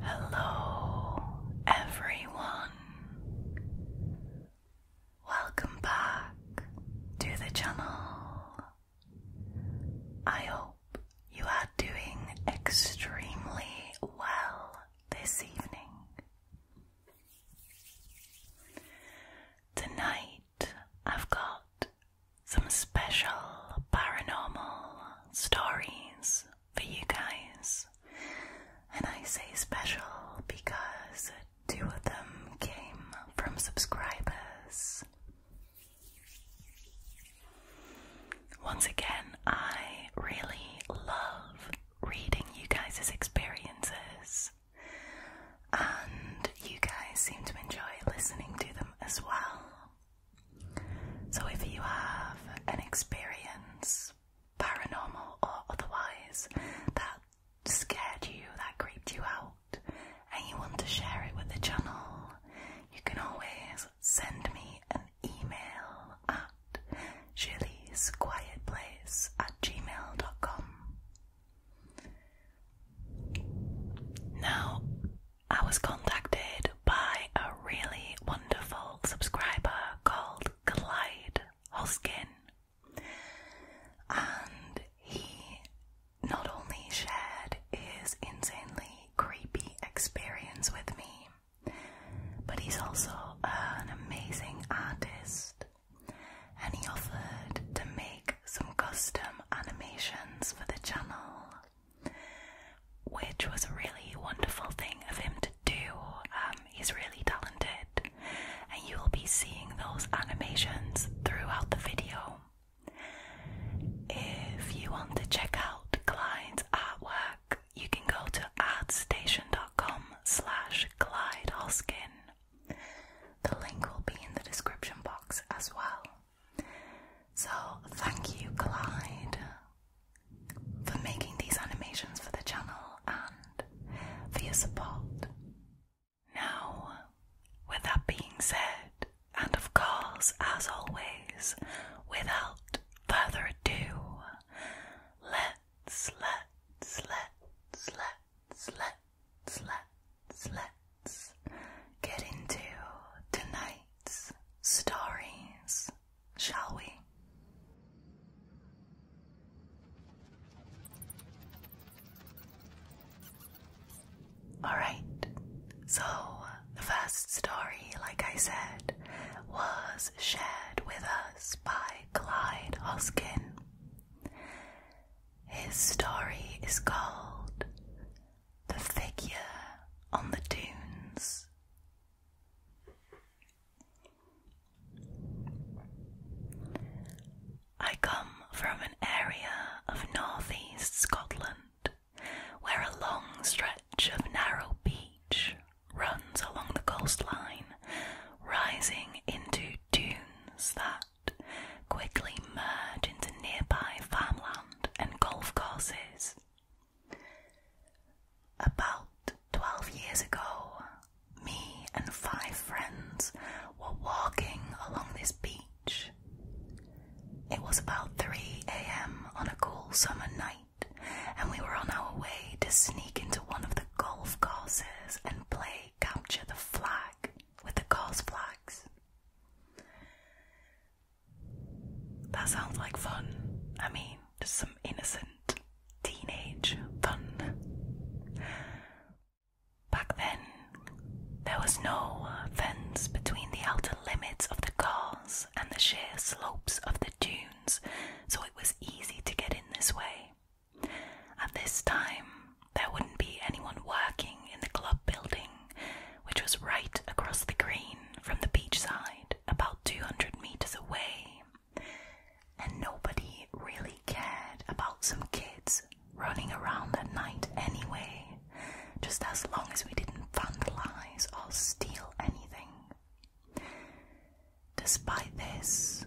Hello, everyone. Welcome back to the channel. I hope you are doing extremely well this evening. Tonight I've got some special paranormal stories for you guys. And I say special because two of them came from subscribers. Once again, I really love reading you guys' experiences, and you guys seem to enjoy listening to them as well. So, if you have an experience, paranormal or otherwise, that scared you, that creeped you out, and you want to share it with the channel, you can always send me an email at julie'squietplace at gmail.com. Now, I was contacted by a really wonderful subscriber called Clyde Hoskin, and he not only shared his insanely creepy experience with me, but he's also an amazing artist and he offered to make some custom animations for the channel, which was a really wonderful thing of him to do. Um, he's really talented, and you will be seeing those animations throughout the video. If you want to check out Clyde's artwork, you can go to artstation.com slash Clyde Hoskin. The link will be in the description box as well. So thank you Glide, for making these animations for the channel and for your support. Now with that being said, and of course, as always, without further ado, let's, let's, let's, let's, let's, let's, let's get into tonight's stories, shall we? Alright, so the first story, like I said, was shared with us by Clyde Hoskin. His story is called The Figure on the Dunes. I come from an area of northeast Scotland where a long stretch of narrow beach runs along the coastline, rising into dunes that quickly merge into nearby farmland and golf courses. About 12 years ago, me and five friends were walking along this beach it was about 3 a.m. on a cool summer night, and we were on our way to sneak into one of the golf courses and play capture the flag with the course flags. That sounds like fun. I mean, just some innocent teenage fun. Back then, there was no uh, fence between the outer limits of the cars and the sheer slopes of the dunes, so it was easy to get in this way. At this time, there wouldn't be anyone working in the club building, which was right across the green from the beachside, about 200 metres away. And nobody really cared about some kids running around at night anyway, just as long as we didn't vandalize or steal anything. Despite this,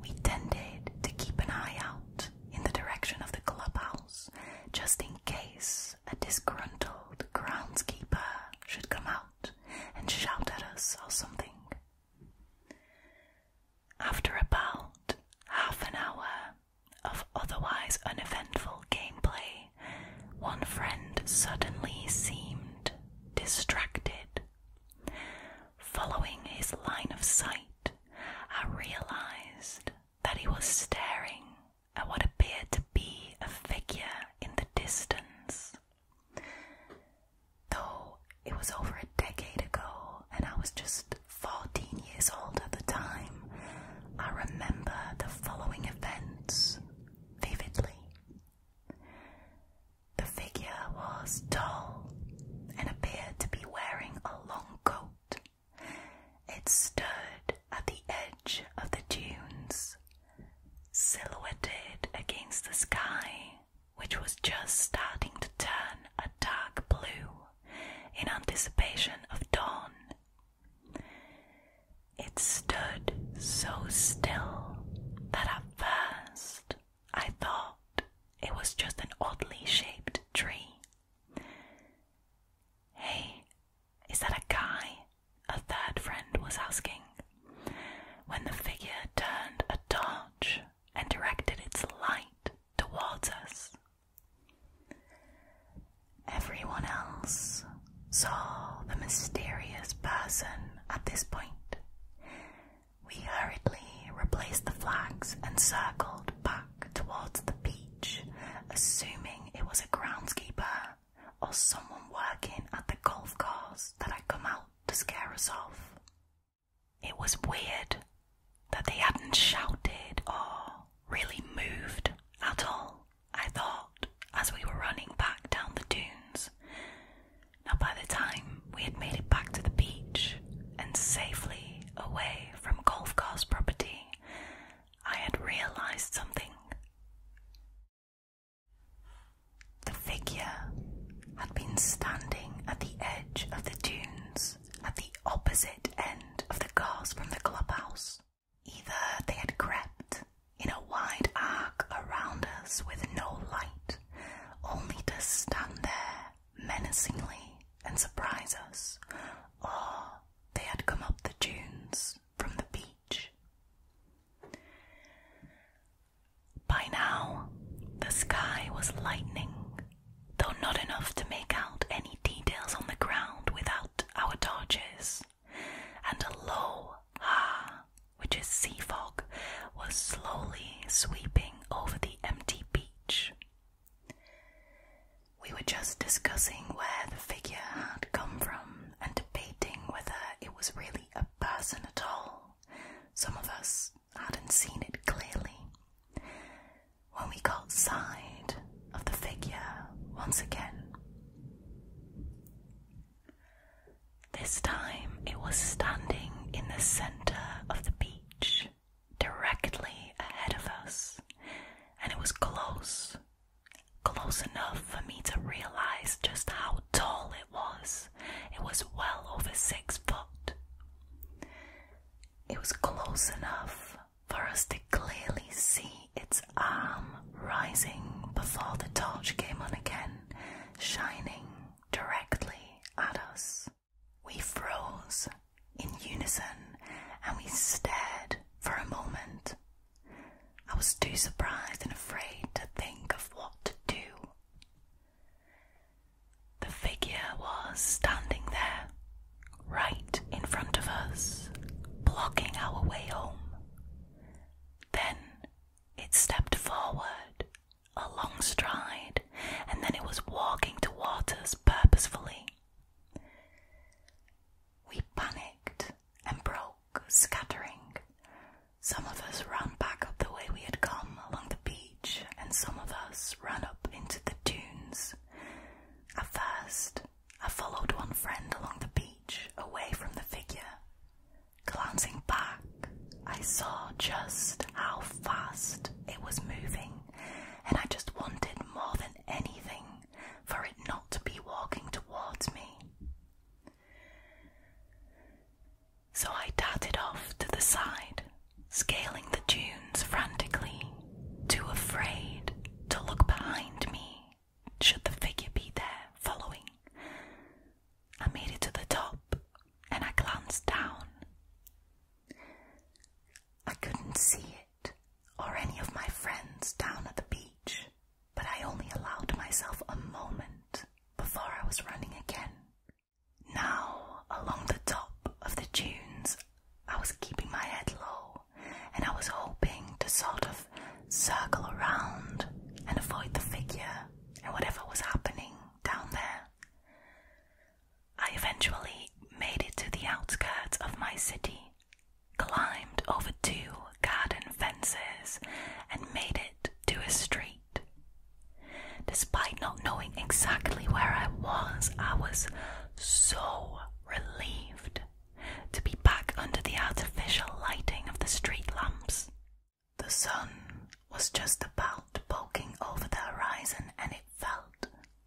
we tended to keep an eye out in the direction of the clubhouse just in case a disgruntled groundskeeper should come out and shout at us or something. After about half an hour, of otherwise uneventful gameplay, one friend suddenly seemed distracted. Following his line of sight, I realized that he was staring at what appeared to be a figure in the distance. Though it was over a decade ago, and I was just 14 years old at the time, I remember the following events vividly. The figure was tall and appeared to be wearing a long coat. It stood at the edge of the dunes, silhouetted against the sky, which was just starting to turn a dark blue in anticipation of dawn it stood so still that at first I thought it was just an oddly shaped tree. Hey, is that a guy? A third friend was asking when the figure turned a torch and directed its light towards us. Everyone else saw the mysterious person at this point. We hurriedly replaced the flags and circled back towards the beach, assuming it was a groundskeeper or someone working at the golf course that had come out to scare us off. It was weird that they hadn't shouted or really moved at all, I thought, as we were running back down the dunes. Now, by the time we had made it back to the beach and safely away from Golf Course property, I had realized something. The figure had been standing at the edge of the dunes at the opposite end of the cars from the clubhouse. Either they had crept in a wide arc around us with no light, only to stand there menacingly and surprise us, or they had come up the dunes from the beach. By now, the sky was lightening, though not enough to make out any details on the ground without our torches, and a low ha, which is sea fog, was slowly sweeping over the empty beach. We were just discussing where the figure had come from and debating whether it was really a person at all. Some of us hadn't seen it clearly when we caught sight of the figure once again. This time it was standing in the centre of the beach, directly ahead of us, and it was close, close enough for me to realise just how tall it was. It was well over six foot. It was close enough for us to clearly see its arm rising before the torch came on again, shining directly at us. We froze in unison and we stared for a moment. I was too surprised and afraid to think of what to do. The figure was standing there, right in front of us, blocking our way home. Then it stepped forward, a long stride, and then it was walking towards us purposefully. We panicked and broke, scattering. Some of us ran back up the way we had come along the beach, and some of us ran up into the dunes. At first, I followed one friend along the beach away from the figure. Glancing back, I saw just how fast it was moving, and I just wanted more than anything for it not to be walking towards me. So I darted off to the side, scaling the dunes frantically too afraid to look behind me should the figure be there following. I made it to the top and I glanced down. I couldn't see it or any of my friends down at the beach, but I only allowed myself a moment before I was running again. Now, along the top of the dunes, I was keeping my head low and I was hoping to sort of circle around and avoid the figure and whatever was happening down there. I eventually made it to the outskirts of my city, climbed over two garden fences, and made it to a street. Despite not knowing exactly where I was, I was so relieved to be back under the artificial lighting of the street lamps. The sun was just about poking over the horizon, and it felt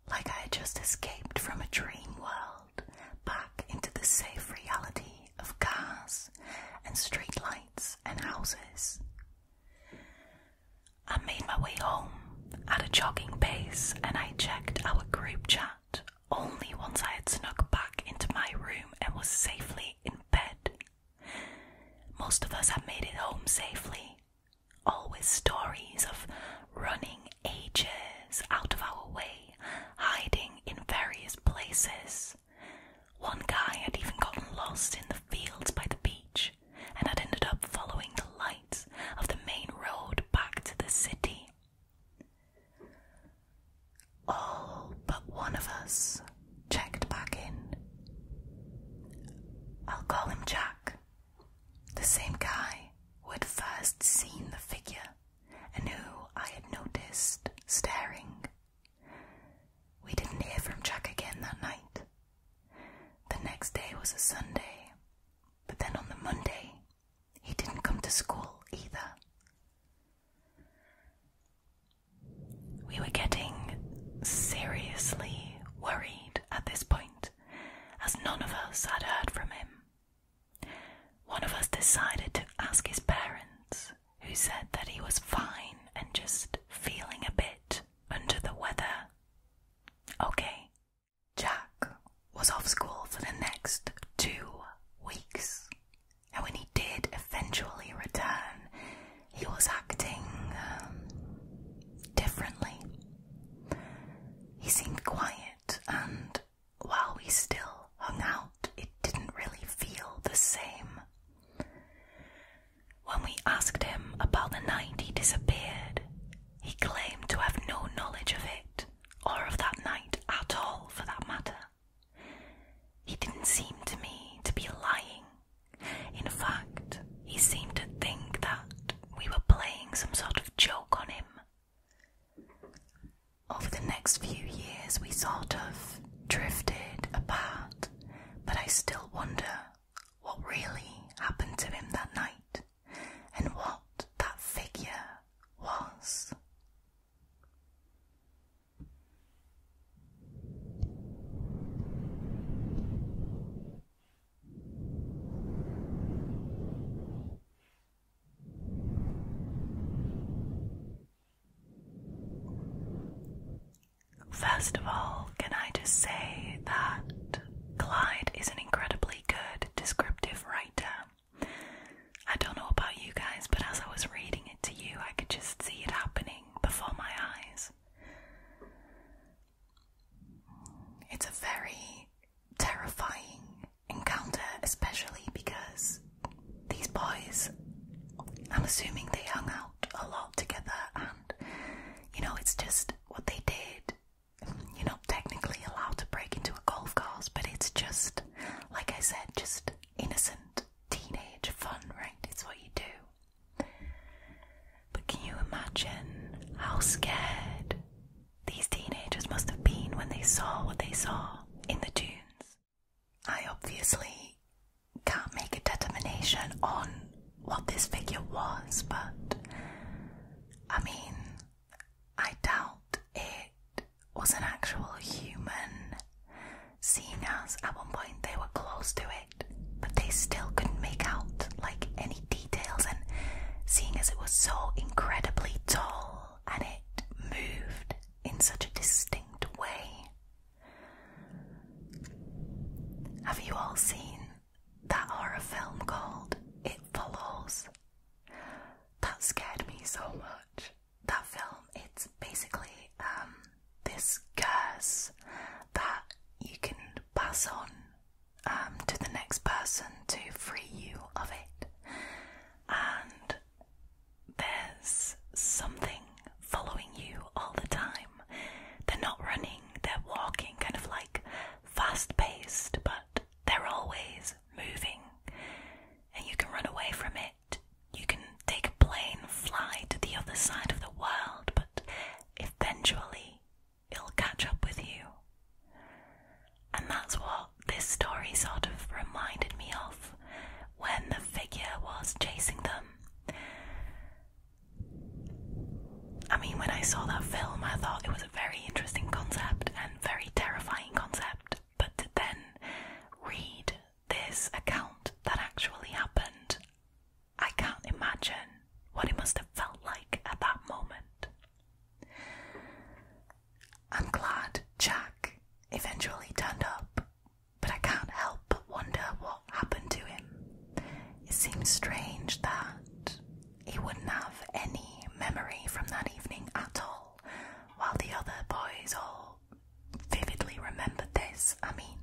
like I had just escaped from a dream world back into the safe reality of cars and street lights and houses. I made my way home at a jogging pace and I checked our group chat only once I had snuck back into my room and was safely in bed. Most of us had made it home safely, all with stories of running ages out of our way, hiding in various places. One guy had even gotten lost in the fields by the beach and had ended up following the lights of the main road back to the city. All but one of us checked back in. I'll call him Jack, the same guy who had first seen the figure and who I had noticed staring. We didn't hear from Jack again that night. The next day was a Sunday, but then on the Monday, he didn't come to school either. We were getting seriously worried at this point, as none of us had heard from him. One of us decided to ask his parents, who said that he was fine and just feeling a bit under the weather. Okay, Jack was off school for the next two weeks, and when he did eventually return, he was acting um, differently. He seemed quiet, and while we still hung out, it didn't really feel the same. When we asked him about the night he disappeared, he claimed to have no knowledge of it or of that night at all for that matter. He didn't seem to me to be lying. In fact, he seemed to think that we were playing some sort of joke on him. Over the next few years, we sort of drifted apart, but I still wonder what really happened to him that night and what that figure was. First of all, can I just say that Clyde is an incredibly good descriptive writer. I don't know about you guys, but as I was reading it to you, I could just see it happening before my eyes. It's a very terrifying encounter, especially because these boys, I'm assuming they hung out a lot together, and you know, it's just what they did you're not technically allowed to break into a golf course, but it's just, like I said, just innocent teenage fun, right? It's what you do. But can you imagine how scared these teenagers must have been when they saw what they saw in the dunes? I obviously can't make a determination on what this figure was, but I mean, I doubt it was an actual human, seeing as at one point they were close to it, but they still couldn't make out like any details. And seeing as it was so incredibly tall and it moved in such a distinct way, have you all seen that horror film called It Follows? That scared me so much. That film, it's basically um, this curse that you can pass on um, to the next person to free you of it. And there's something following you all the time. They're not running, they're walking, kind of like fast paced, but they're always moving and you can run away from it. You can take a plane, fly to the other side of the world, but eventually it'll catch up with you. And that's what this story sort of reminded me of when the figure was chasing them. I mean, when I saw that film, I thought it was a very interesting concept and very terrifying concept, but to then read this account that actually happened, I can't imagine what it must have felt like at that moment. I'm glad Jack eventually turned up, but I can't help but wonder what happened to him. It seems strange that he wouldn't have any memory from that evening at all, while the other boys all vividly remembered this. I mean,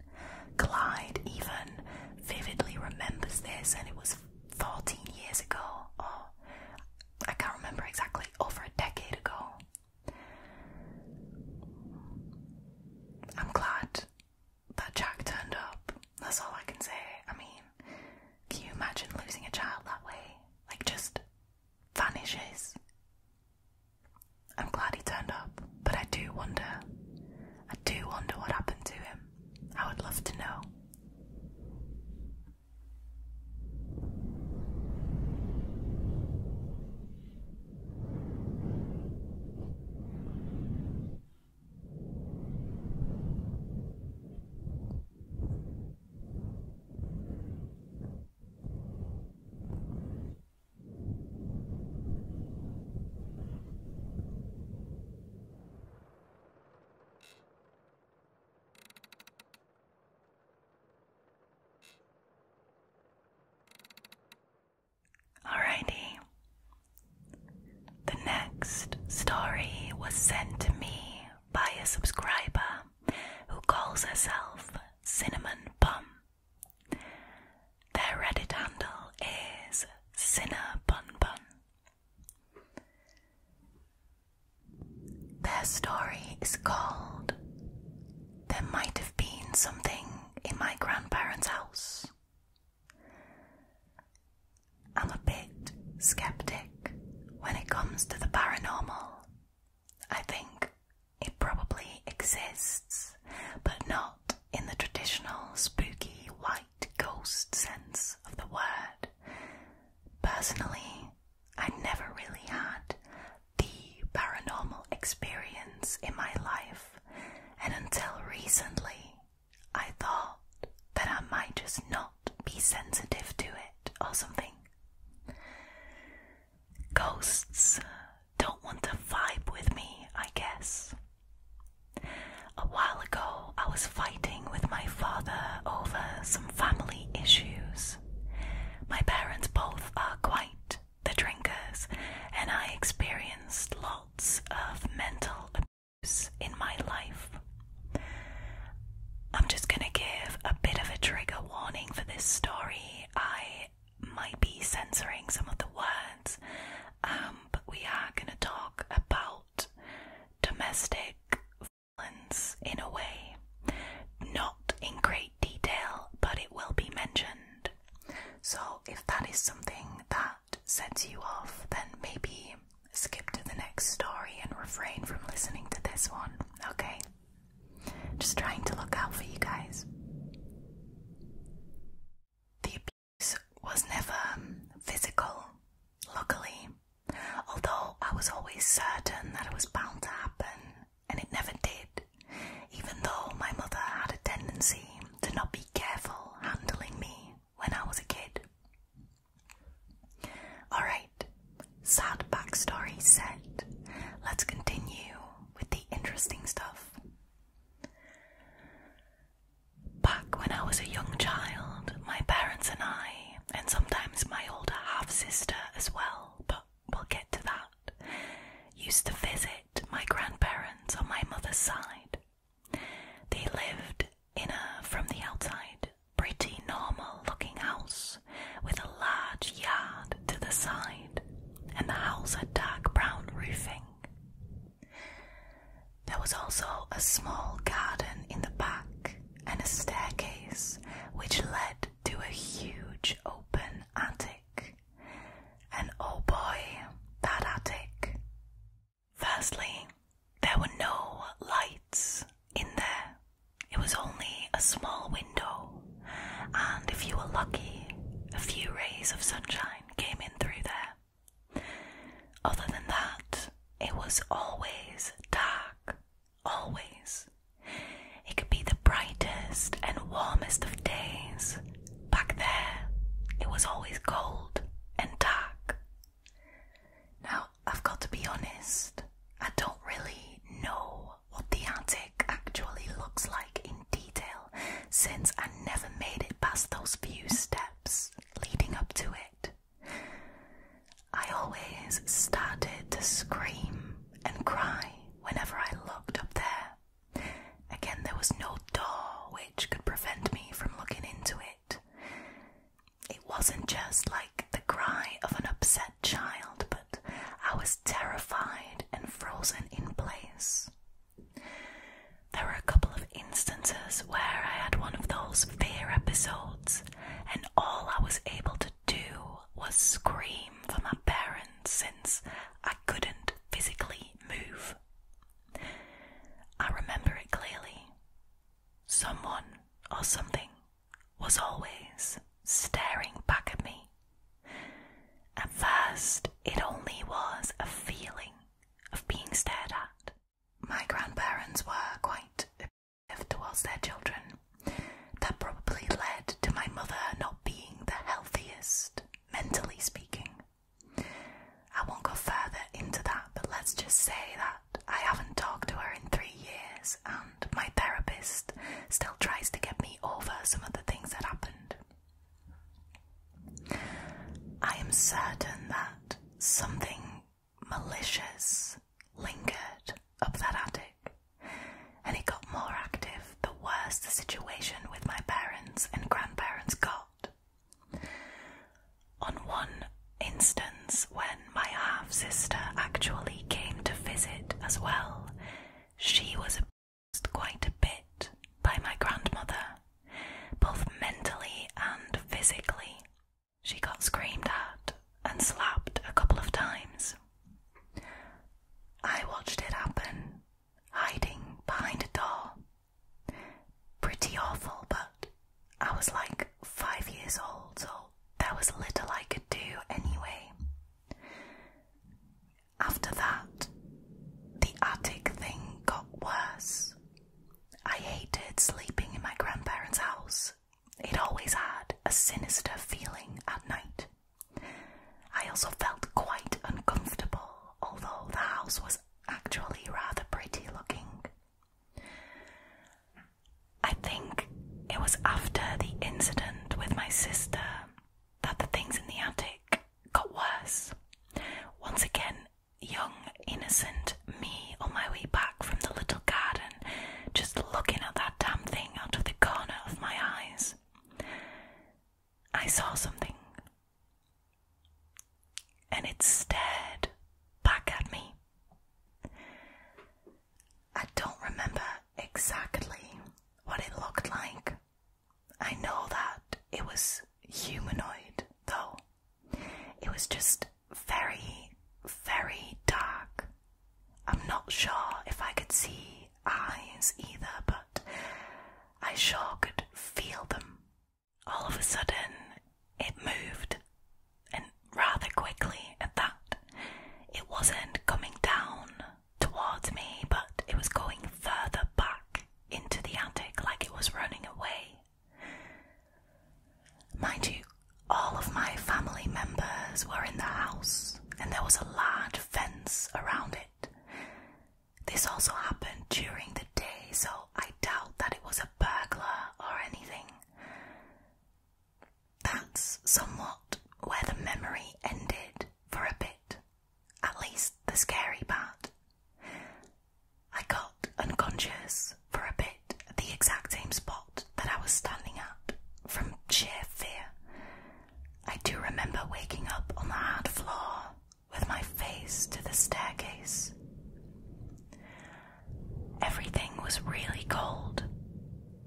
Clyde even vividly remembers this, and it was 14 years ago, or I can't remember exactly, over a decade ago. I'm glad that Jack turned up, that's all I can say. I mean, can you imagine losing a child that way? Like, just vanishes. I'm glad he turned up, but I do wonder. I do wonder what happened to him. I would love to know. Alrighty. The next story was sent to me by a subscriber who calls herself Cinnamon Bum. Their Reddit handle is Cinna Bun Bun. Their story is called There Might Have Been Something in My Grandparents' House. I'm a bit skeptic when it comes to the paranormal. I think it probably exists, but not in the traditional spooky white ghost sense of the word. Personally, I never really had the paranormal experience in my life, and until recently, I thought that I might just not be sensitive to it or something. Ghosts don't want to vibe with me, I guess. A while ago, I was fighting with my father over some family issues. My parents both are quite the drinkers, and I experienced lots of mental abuse in my life. I'm just gonna give a bit of a trigger warning for this story. I might be censoring some of the words, um, but we are gonna talk about domestic violence in a way. Not in great detail, but it will be mentioned. So if that is something that sets you off, then maybe skip to the next story and refrain from listening to this one, okay? Just trying to look out for you guys. The abuse was never physical, luckily, although I was always certain that it was bound to happen, and it never did, even though my mother had a tendency to not be careful handling me when I was a kid. Alright, sad backstory set. Let's continue with the interesting stuff. Back when I was a young child, my parents and I, and sometimes my older half sister as well, but we'll get to that, used to visit my grandparents on my mother's side. They lived in a, from the outside, pretty normal looking house with a large yard to the side, and the house had dark brown roofing. There was also a small garden in the back and a staircase which led to a huge open attic. And oh boy, that attic! Firstly, there were no lights in there, it was only a small window, and if you were lucky, a few rays of sunshine came in through there. Other than that, it was always dark, always. It could be the brightest and warmest of days. Back there, it was always cold and dark. Now, I've got to be honest, I don't really know what the attic actually looks like in detail since I never made it past those few steps leading up to it. I always started to scream and cry whenever I looked up there. Again, there was no door which could prevent me from looking into it. It wasn't just like the cry of an upset child, but I was terrified and frozen in place. There were a couple of instances where I had one of those fear episodes, and all I was able to do was scream for my parents since I couldn't physically move. I remember it clearly. Someone or something was always staring back at me. At first, it only was a feeling of being stared at. My grandparents were quite abusive towards their children. That probably led to my mother not being the healthiest, mentally speaking. I won't go further into that, but let's just say that. I haven't talked to her in three years, and my therapist still tries to get me over some of the things that happened. I am certain that something malicious lingered up that attic, and it got more active the worse the situation with my parents and grandparents got on one instance when my half sister actually came to visit as well, she was abused quite a bit by my grandmother, both mentally and physically. She got screamed at and slapped a couple of times. I watched it happen, hiding behind a door. Pretty awful, but I was like five years old, so there was little I could do anyway. After that, the attic thing got worse. I hated sleeping in my grandparents' house. It always had a sinister feeling at night. I also felt quite uncomfortable, although the house was actually rather pretty looking. I think it was after the incident with my sister that the things in the attic got worse. Once again, young, innocent me on my way back from the little garden, just looking at that damn thing out of the corner of my eyes. I saw something. And it stared back at me. I don't remember exactly what it looked like. I know that it was humanoid, though. It was just very, very dark. I'm not sure if I could see eyes either, but I sure could feel them. All of a sudden, it moved, and rather quickly at that. It wasn't coming down towards me, but it was going further back into the attic like it was running away. Mind you, all of my family members were in the house, and there was a large fence around it. This also happened during the day, so I doubt that it was a burglar or anything. That's somewhat where the memory ended for a bit, at least the scary part. I got unconscious for a bit at the exact same spot that I was standing at from sheer fear. I do remember waking up on the hard floor with my face to the staircase. Everything was really cold.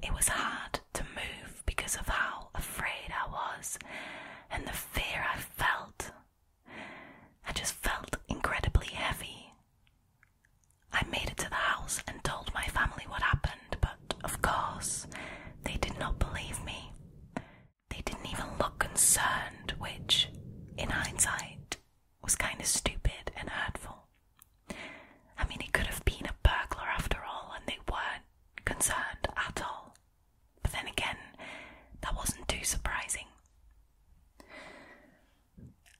It was hard to move because of how afraid I was and the fear I felt. I just felt incredibly heavy. I made it to the house and told my family what happened, but of course, they did not believe me. They didn't even look concerned, which, in hindsight, was kind of stupid and hurtful. I mean, he could have been a burglar after all, and they weren't concerned at all. But then again, that wasn't too surprising.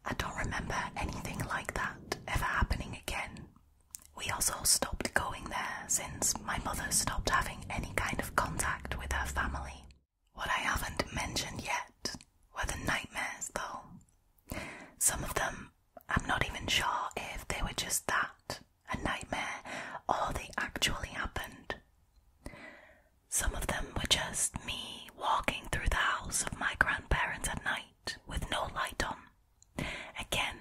I don't remember anything like that ever happening again. We also stopped going there since my mother stopped having any kind of contact with her family. What I haven't mentioned yet were the nightmares, though. Some of them, I'm not even sure if they were just that, a nightmare, or they actually happened. Some of them were just me walking through the house of my grandparents at night with no light on. Again,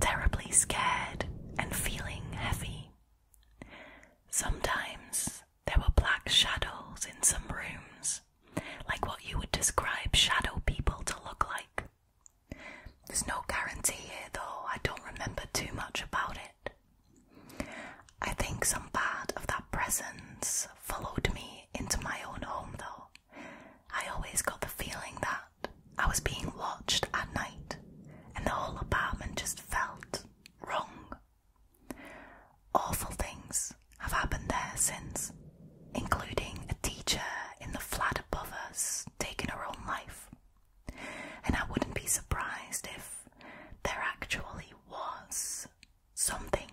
terribly scared and feeling heavy. Sometimes there were black shadows in some rooms, like what you would describe shadow people to look like. There's no guarantee here, though, I don't remember too much about it. I think some part of that presence followed me into my own home, though. I always got the feeling that I was being watched at night, and the whole apartment just felt wrong. Awful things have happened there since, including a teacher in the flat above us taking her own life. And I wouldn't be surprised if there actually was something.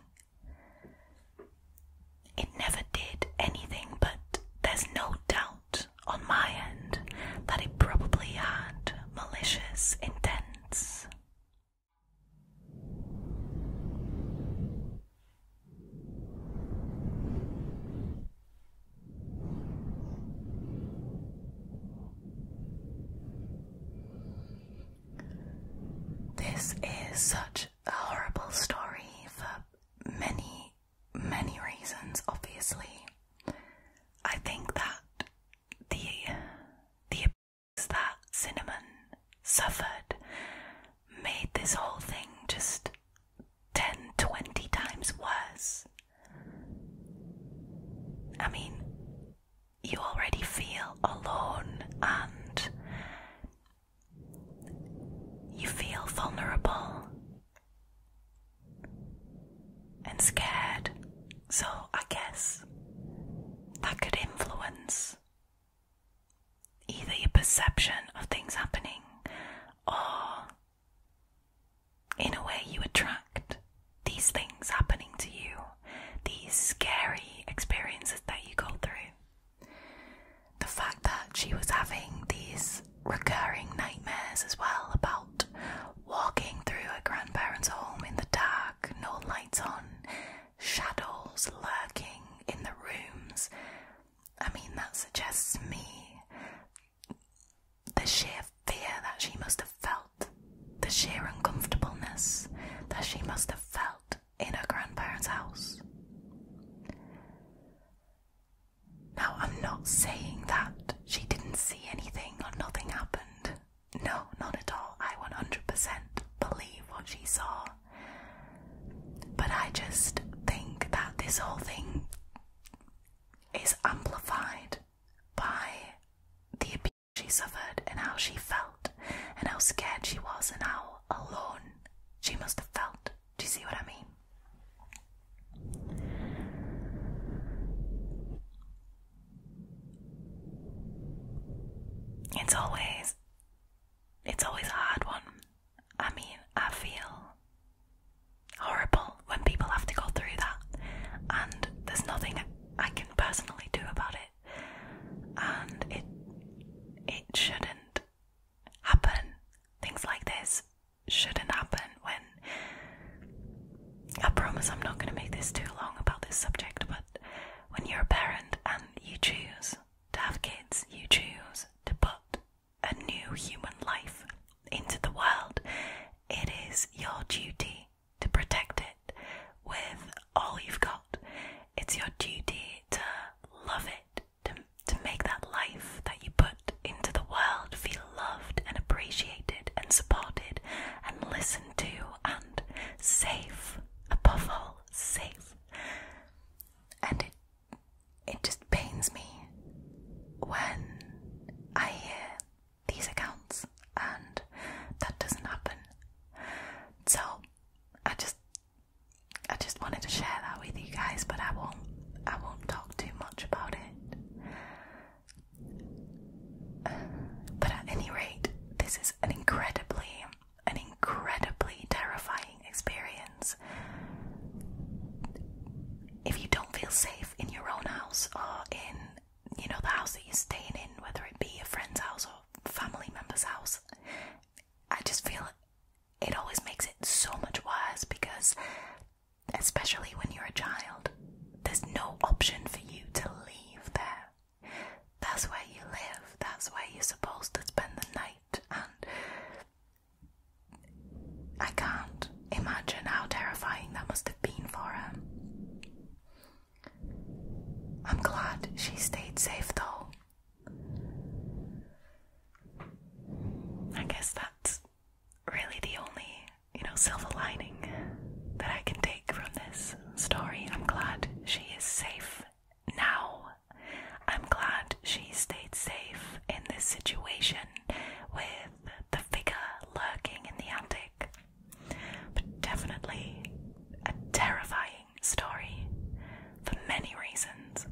It never did anything, but there's no doubt on my end that it probably had malicious intents. This is such a horrible story for many, many reasons, obviously. I think that the the that Cinnamon suffered made this whole thing just 10, 20 times worse. I mean, you already feel alone and you feel vulnerable and scared. So, I guess that could influence either your perception of things happening or in a way you attract these things happening to you, these scary experiences that you go through. The fact that she was having these recurring nightmares as well about walking through her grandparents' home in the dark no lights on, shadows lurking in the rooms. I mean, that suggests me the sheer fear that she must have felt, the sheer uncomfortableness that she must have felt in her grandparents' house. Now, I'm not saying that she didn't see anything or nothing happened. No, not at all. I 100% believe what she saw. But I just think that this whole thing is amplified by the abuse she suffered and how she felt and how scared she was and how alone she must have felt. Do you see what I mean? It's always it's always a hard one. I mean, I feel horrible when people have to go through that, and there's nothing I can personally do about it, and it it shouldn't happen. Things like this shouldn't happen. When I promise, I'm not going to make this too long about this subject, but when you're a parent and you choose to have kids, you choose to put a new human life into the world. It is your duty to protect it with all you've got. It's your duty to love it, to, to make that life that you put into the world feel loved and appreciated and supported and listened to and safe above all safe. And it it just pains me when I hear these accounts, and that doesn't happen. So I just I just wanted to share that with you guys, but I won't I won't talk too much about it. but at any rate, this is an incredibly an incredibly terrifying experience. If you don't feel safe in your own house or in, you know, the house that you're staying in, whether it be a friend's house or family member's house, I just feel it always makes it so much worse because, especially when you're a child, there's no option for you to leave there. That's where you live, that's where you're supposed to spend the night, and I can't imagine how terrifying that must have been for her. I'm glad she stayed safe though. I guess that's really the only, you know, silver lining that I can take from this story. I'm glad she is safe now. I'm glad she stayed safe in this situation with the figure lurking in the attic. But definitely a terrifying story for many reasons.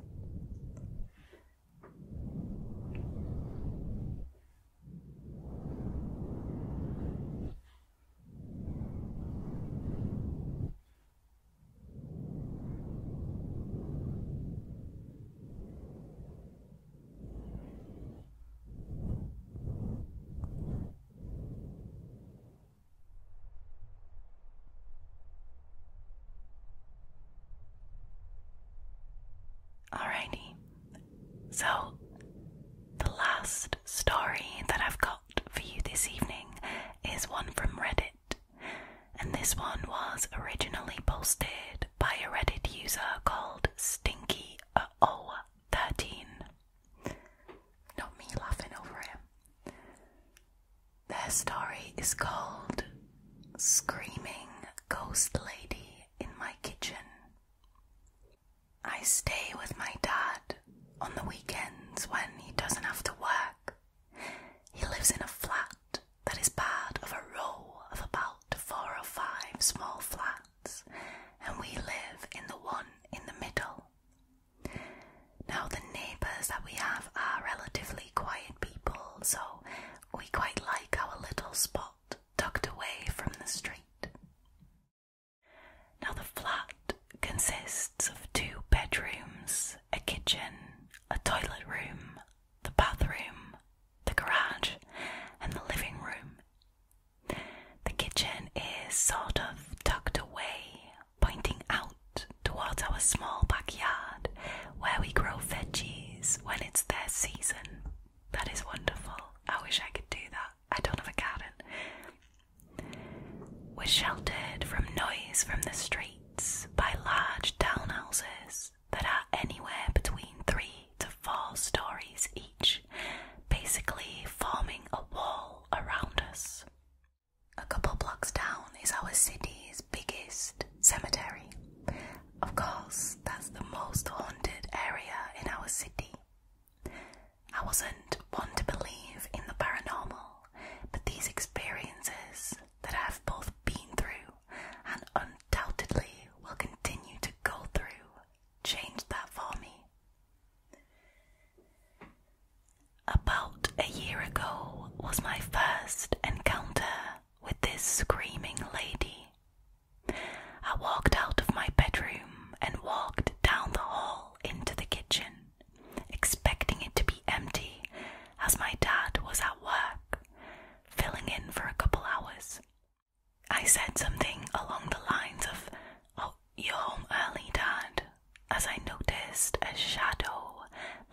Alrighty, so the last story that I've got for you this evening is one from Reddit, and this one was originally posted by a Reddit user called Stinky uh, O 13. Not me laughing over it. Their story is called Screaming Ghost Lady in My Kitchen. I stay with my dad on the weekends when he doesn't have to work. He lives in a flat that is part of a row of about four or five small flats, and we live in the one in the middle. Now, the neighbours that we have are relatively quiet people, so we quite like our little spot tucked away from the street. Now, the flat consists of two bedrooms, a kitchen, a toilet room, the bathroom, the garage, and the living room. The kitchen is sort of tucked away, pointing out towards our small backyard where we grow veggies when it's their season. That is wonderful. I wish I could do that. I don't have a garden. We're sheltered from noise from the streets by large townhouses that are anywhere between three to four stories each, basically forming a wall around us. A couple blocks down is our city's biggest cemetery. Of course, that's the most haunted area in our city. I wasn't one to believe in the paranormal, but these experiences that I've both been through and undoubtedly will continue to go through changed that for me. About a year ago was my first encounter with this screaming lady. I walked out of my bedroom and walked down the hall into the kitchen expecting it to be empty, as my dad was at work, filling in for a couple hours. I said something along the lines of, Oh, you're home early, Dad, as I noticed a shadow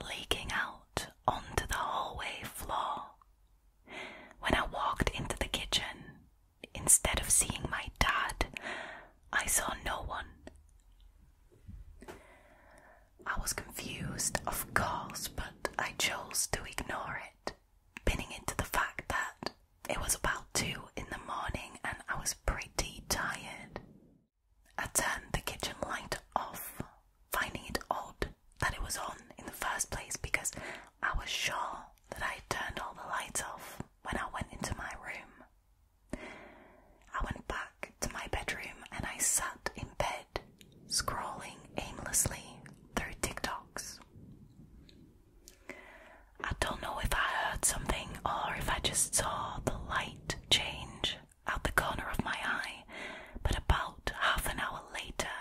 leaking out onto the hallway floor. When I walked into the kitchen, instead of seeing my dad, I saw no one. I was confused, of course, but I chose to ignore it, pinning it to the fact that it was about two in the morning and I was pretty tired. I turned the kitchen light off, finding it odd that it was on in the first place because I was sure that I had turned all the lights off when I went into my room. I went back to my bedroom and I sat in bed, scrolling aimlessly through TikToks. I don't know if I heard something or if I just saw the light change out the corner of my eye, but about half an hour later,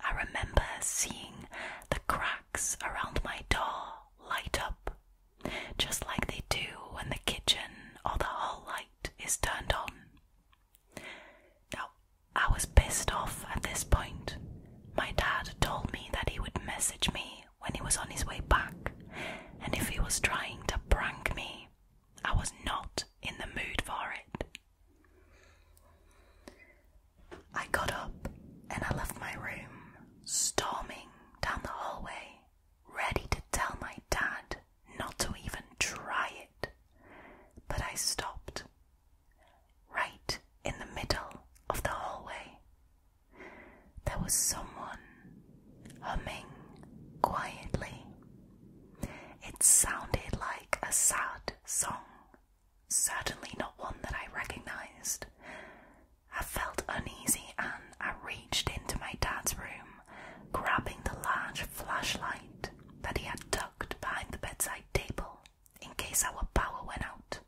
I remember seeing the cracks around my door light up just like they do when the kitchen or the hall light is turned on. Now, I was pissed off at this point. My dad told me that he would message me when he was on his way back, and if he was trying to prank me, I was not in the mood for it. I got up and I left my room, storming down the hallway ready to tell my dad not to even try it, but I stopped right in the middle of the hallway. There was someone humming quietly. It sounded like a sad song, certainly not one that I recognized, I felt uneasy and I reached into my dad's room, grabbing the large flashlight that he had tucked behind the bedside table in case our power went out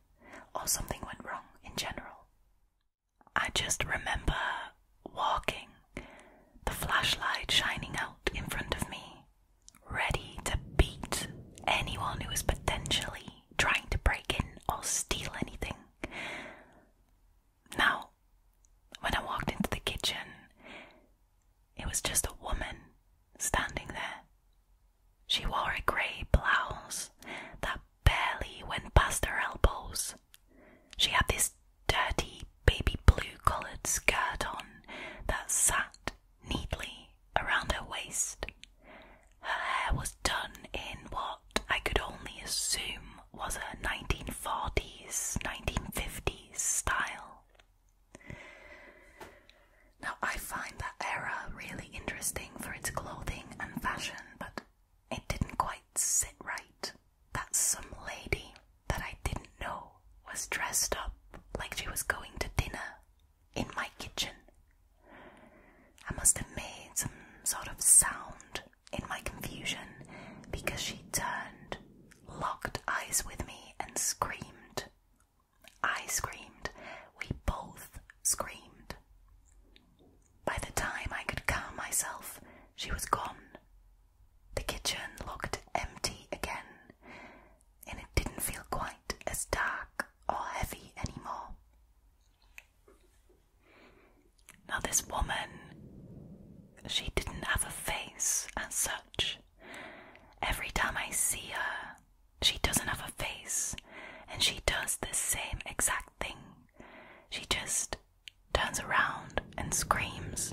or something went wrong in general. I just remember walking, the flashlight shining out in front of me, ready to beat anyone who was potentially trying to break in or steal anything. Now, when I walked into the kitchen, it was just a woman standing there. She wore a grey blouse that barely went past her elbows. She had this dirty, baby blue coloured skirt on that sat neatly around her waist, her hair was done in what I could only assume was a 1940s, 1950s style. Now, I find that era really interesting for its clothing and fashion, but it didn't quite sit right that some lady that I didn't know was dressed up like she was going to dinner in my kitchen I must have made some sort of sound in my confusion because she turned, locked eyes with me, and screamed. I screamed. We both screamed. By the time I could calm myself, she was gone. The kitchen looked empty again, and it didn't feel quite as dark or heavy anymore. Now, this woman, she didn't have a face as such. Every time I see her, she doesn't have a face, and she does the same exact thing. She just turns around and screams.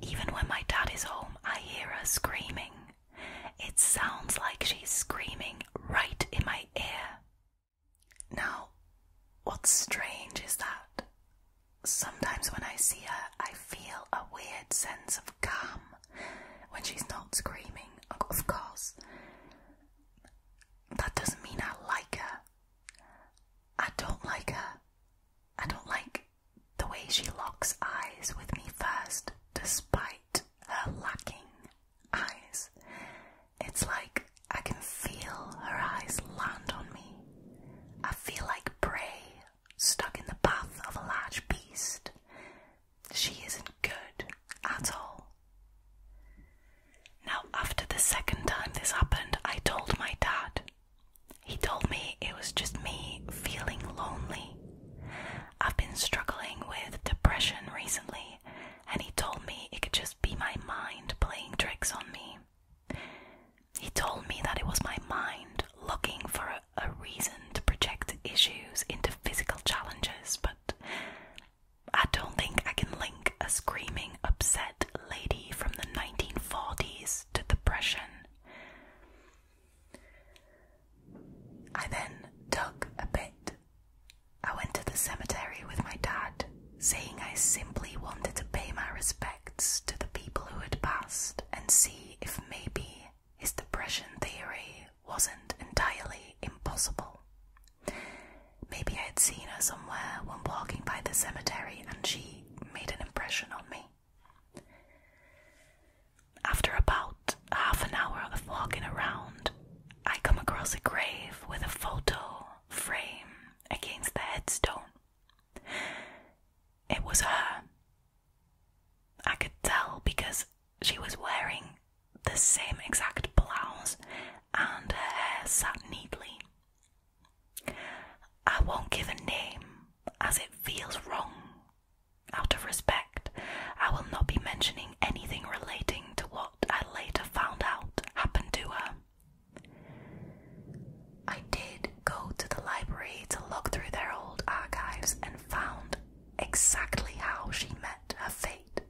Even when my dad is home, I hear her screaming. It sounds like she's screaming right in my ear. Now, what's strange is that sometimes when I see her, I feel a weird sense of calm when she's not screaming, of course. That doesn't mean I like her. I don't like her. I don't like the way she locks eyes with me first, despite her lacking eyes. It's like I can feel her eyes land on me. I feel like prey stuck in the path of a large beast. She isn't good at all. Now, after the second time this happened, I told my dad. He told me it was just me feeling lonely. I've been struggling with depression recently, and he told me it could just be my mind playing tricks on me. He told me that it was my mind looking for a, a reason to project issues into physical challenges, but I don't think I can link a screaming, upset lady from the 1940s to depression. I then dug a bit I went to the cemetery with my dad, saying I simply wanted to pay my respects to the people who had passed and see if maybe his depression theory wasn't entirely impossible. Maybe I had seen her somewhere when walking by the cemetery and she made an impression on me. After about half an hour of walking around, I come across a grave with a photo frame against the headstone. It was her. I could tell because she was wearing the same exact blouse and her hair sat neatly. I won't give a name as it feels wrong. Out of respect, I will not be mentioning anything relating to what I later found out happened to her. I did go to the library to look through their old archives and found exactly how she met her fate.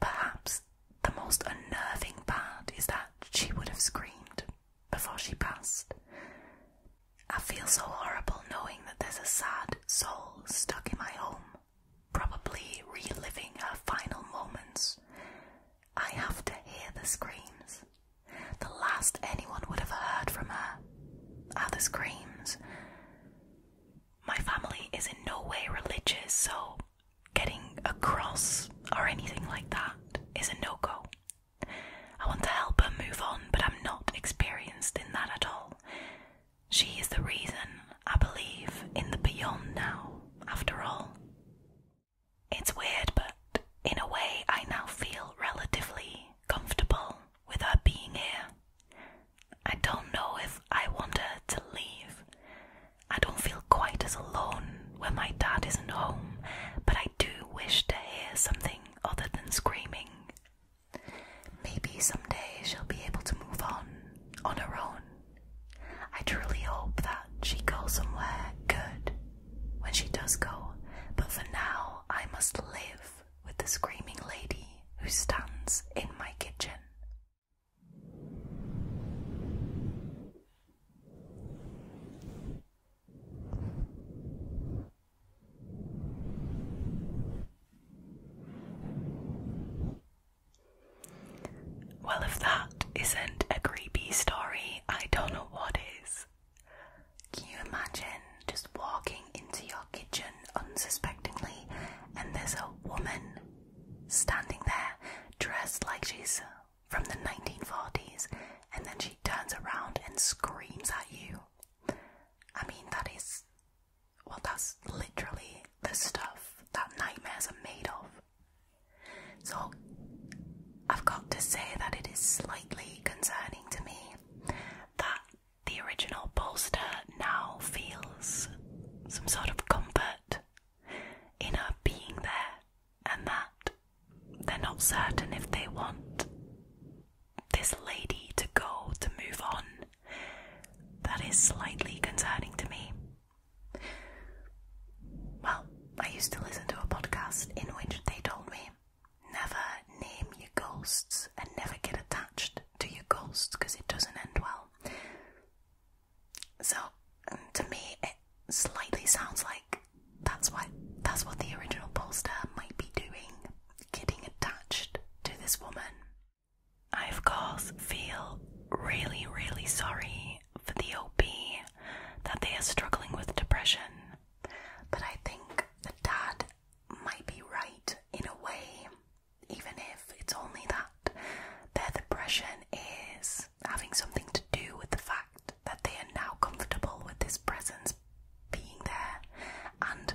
Perhaps the most unnerving part is that she would have screamed before she passed. I feel so horrible knowing that there's a sad soul stuck in my home probably reliving her final moments. I have to hear the screams. The last anyone would have heard from her are the screams. My family is in no way religious, so getting a cross or anything like that is a no go. I want to help her move on, but I'm not experienced in that at all. She is the reason I believe in the beyond now, after all. It's weird, but in a way, I now feel relatively comfortable with her being here. I don't know if I want her to leave. I don't feel quite as alone when my dad isn't home, but I do wish to hear something other than screaming. Maybe someday she'll be able to move on on her own. I truly hope that she goes somewhere good when she does go, but for now I must live with the screaming lady who stands in my kitchen. Well, if that isn't a creepy story, I don't know what is. Can you imagine just walking into your kitchen unsuspectingly and there's a woman standing there dressed like she's from the 1940s and then she turns around and screams at you? I mean, that is well, that's literally the stuff that nightmares are made of. So, I've got to say that it is slightly concerning to me that the original poster now feels some sort of comfort in her being there, and that they're not certain if they want this lady to go to move on. That is slightly concerning to me. Well, I used to listen to a podcast in which they told me never name your ghosts and never get attached to your ghosts because it doesn't end well. So, um, to me, it slightly sounds like that's why that's what the original poster might be doing, getting attached to this woman I, of course, feel really, really sorry for the OP that they are struggling with depression, but I think the dad might be right in a way, even if it's only that their depression is having something to do with the fact that they are now comfortable with this presence being there. And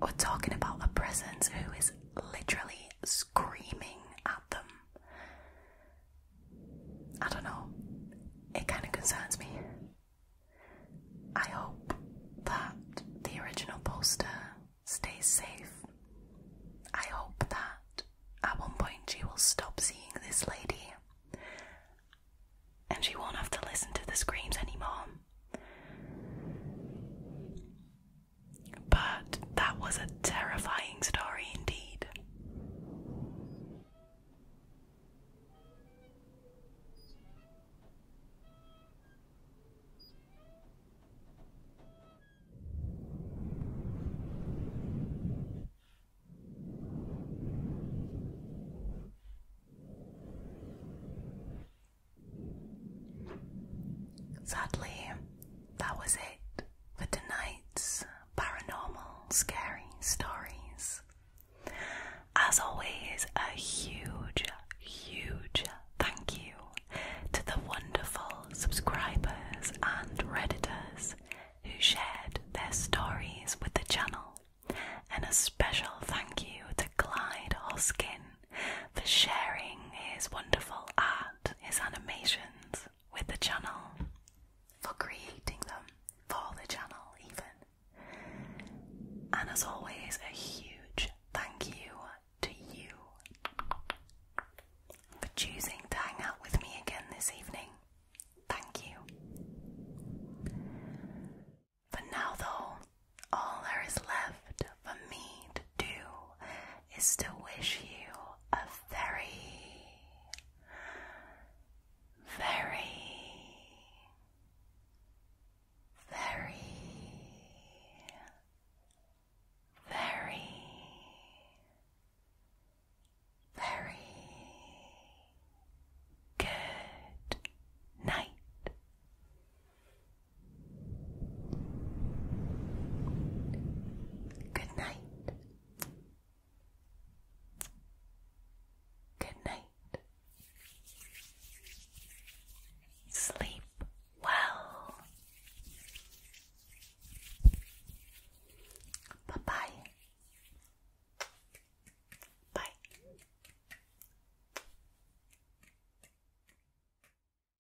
we're talking about a presence who is literally screaming at them. I don't know, it kind of concerns me. I hope that the original poster stays safe. I hope that at one point she will stop seeing this lady and she won't have to listen to the screams anymore. But that was a terrifying story indeed. Sadly, that was it for tonight's paranormal scary stories. As always, a huge, huge thank you to the wonderful subscribers and readers who shared their stories with the channel, and a special thank you to Clyde Hoskin for sharing his wonderful art, his animations with the channel, for creating them for the channel, even. And as always, a huge thank you to you for choosing to hang out with me again this evening. Thank you. But now, though, all there is left for me to do is to wish you a very, very, very, very, very good night. Good night. Good night. Sleep well. Bye bye. Bye.